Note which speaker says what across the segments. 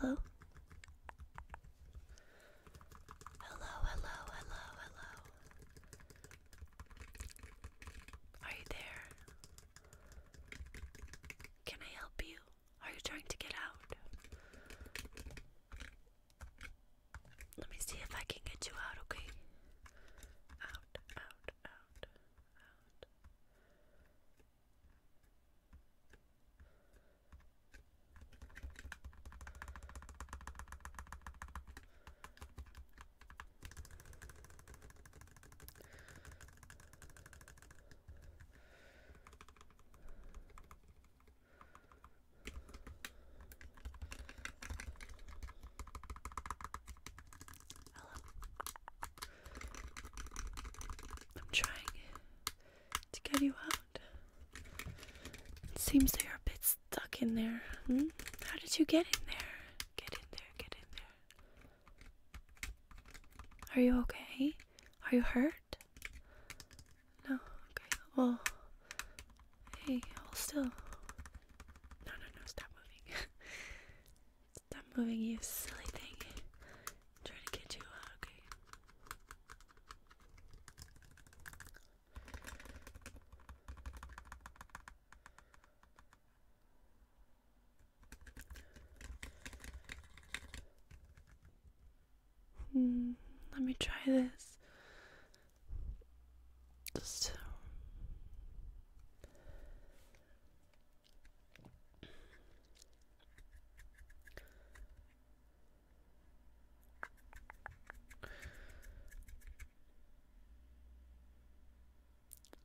Speaker 1: Hello. Hello, hello,
Speaker 2: hello, Are you there? Can I help you? Are you trying to get out? Let me see if I can get you out, okay? Out, out, out, out. I'm trying to get you out. It seems that you're a bit stuck in there. Hmm? How did you get in there? Get in there, get in there. Are you okay? Are you hurt? No, okay. Well, hey, I'll still. No, no, no, stop moving. stop moving, you silly thing. I'm trying to get you okay? Hmm, let me try this. Just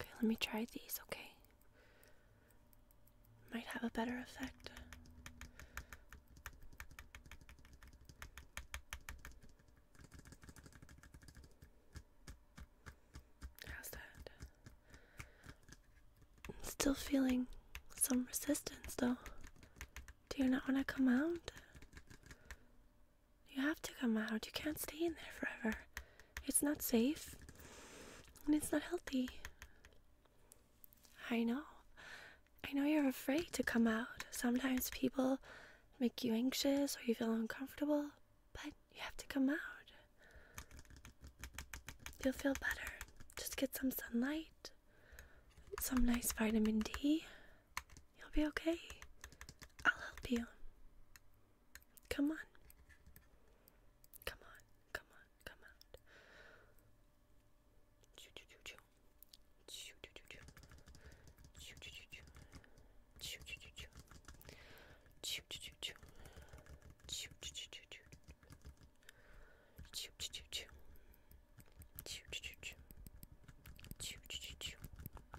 Speaker 2: Okay, let me try these, okay? Might have a better effect. How's that? still feeling some resistance though. Do you not want to come out? You have to come out. You can't stay in there forever. It's not safe and it's not healthy. I know. I know you're afraid to come out. Sometimes people make you anxious or you feel uncomfortable, but you have to come out. You'll feel better. Just get some sunlight, some nice vitamin D, You'll be okay. I'll help you. Come
Speaker 1: on. Come on, come on, come out. choo choo choo. Choo choo choo choo. Choo choo choo choo. Choo choo choo choo. Choo choo choo choo. Choo choo choo choo choo. Choo choo choo choo. Choo choo choo choo. Choo choo choo choo.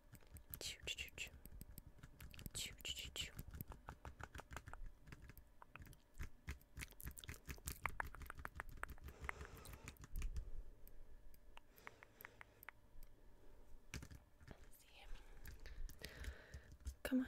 Speaker 1: Choo choo choo choo. Choo choo choo choo.
Speaker 2: Come on.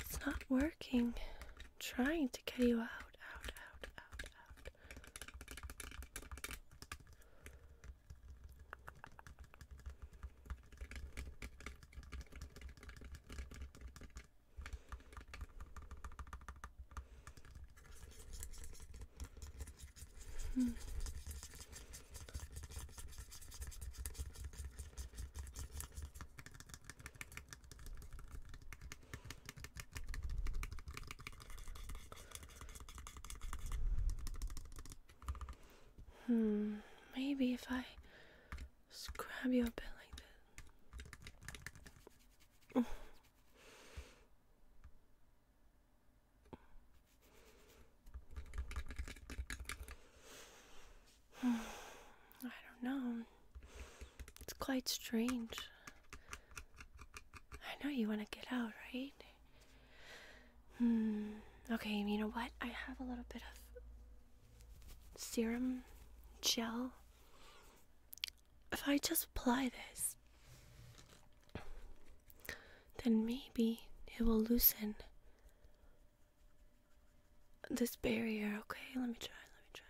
Speaker 2: It's not working. I'm trying to get you out, out, out, out, out. Hmm. Hmm, maybe if I scrub you a bit like this. I don't know. It's quite strange. I know you want to get out, right? Hmm. Okay, you know what? I have a little bit of serum gel if I just apply this, then maybe it will loosen this barrier. Okay, let me try. Let me try.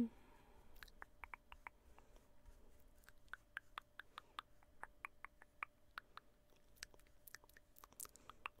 Speaker 2: Hmm.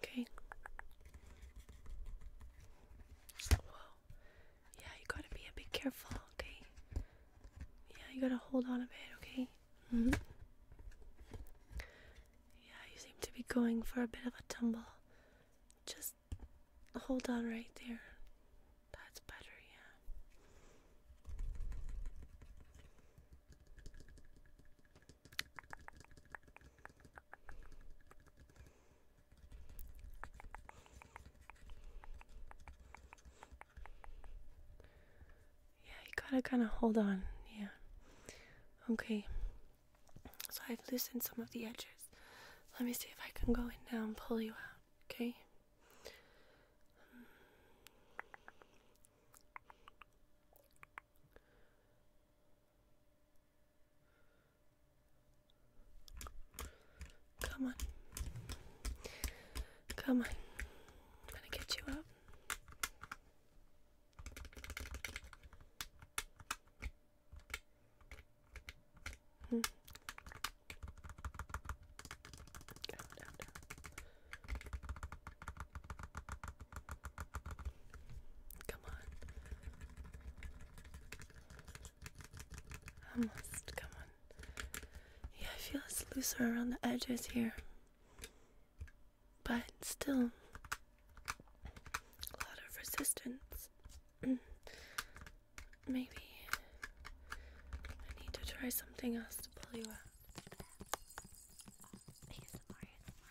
Speaker 2: Okay. Whoa. Yeah, you gotta be a careful, okay? Yeah, you gotta hold on a bit, okay? Mm-hmm. Yeah, you seem to be going for a bit of a tumble. Just hold on right there. That's better, yeah. Yeah, you gotta kind of hold on. Yeah. Okay. So I've loosened some of the edges. Let me see if I can go in now and pull you out. Okay. Come on. Come on. I'm gonna get you up.
Speaker 1: Hmm. Out, out,
Speaker 2: Come on. Almost, come on. Yeah, I feel it's looser around the edges here. But still, a lot of resistance. Mm. Maybe I need to try something else to pull you out. ASMR, ASMR, ASMR,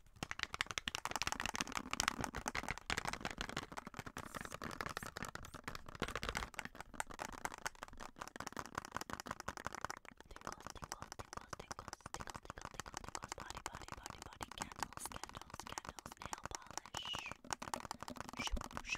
Speaker 1: body, body, nail polish, polish,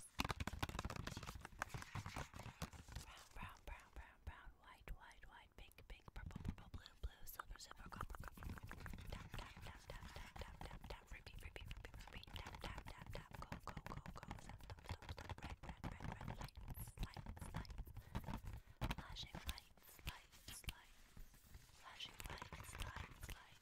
Speaker 1: Brown, brown, brown, brown, brown, white, white, white, pink, pink, purple, purple, blue, blue, silver, silver, copper, copper, tap, tap, tap, tap, tap, tap, tap, tap, repeat, repeat, repeat, repeat, tap, tap, tap, tap, go, go, go, go, stop, stop, stop, stop, red, red, red, red, lights, lights, lights, flashing lights, lights, lights, flashing lights, lights, lights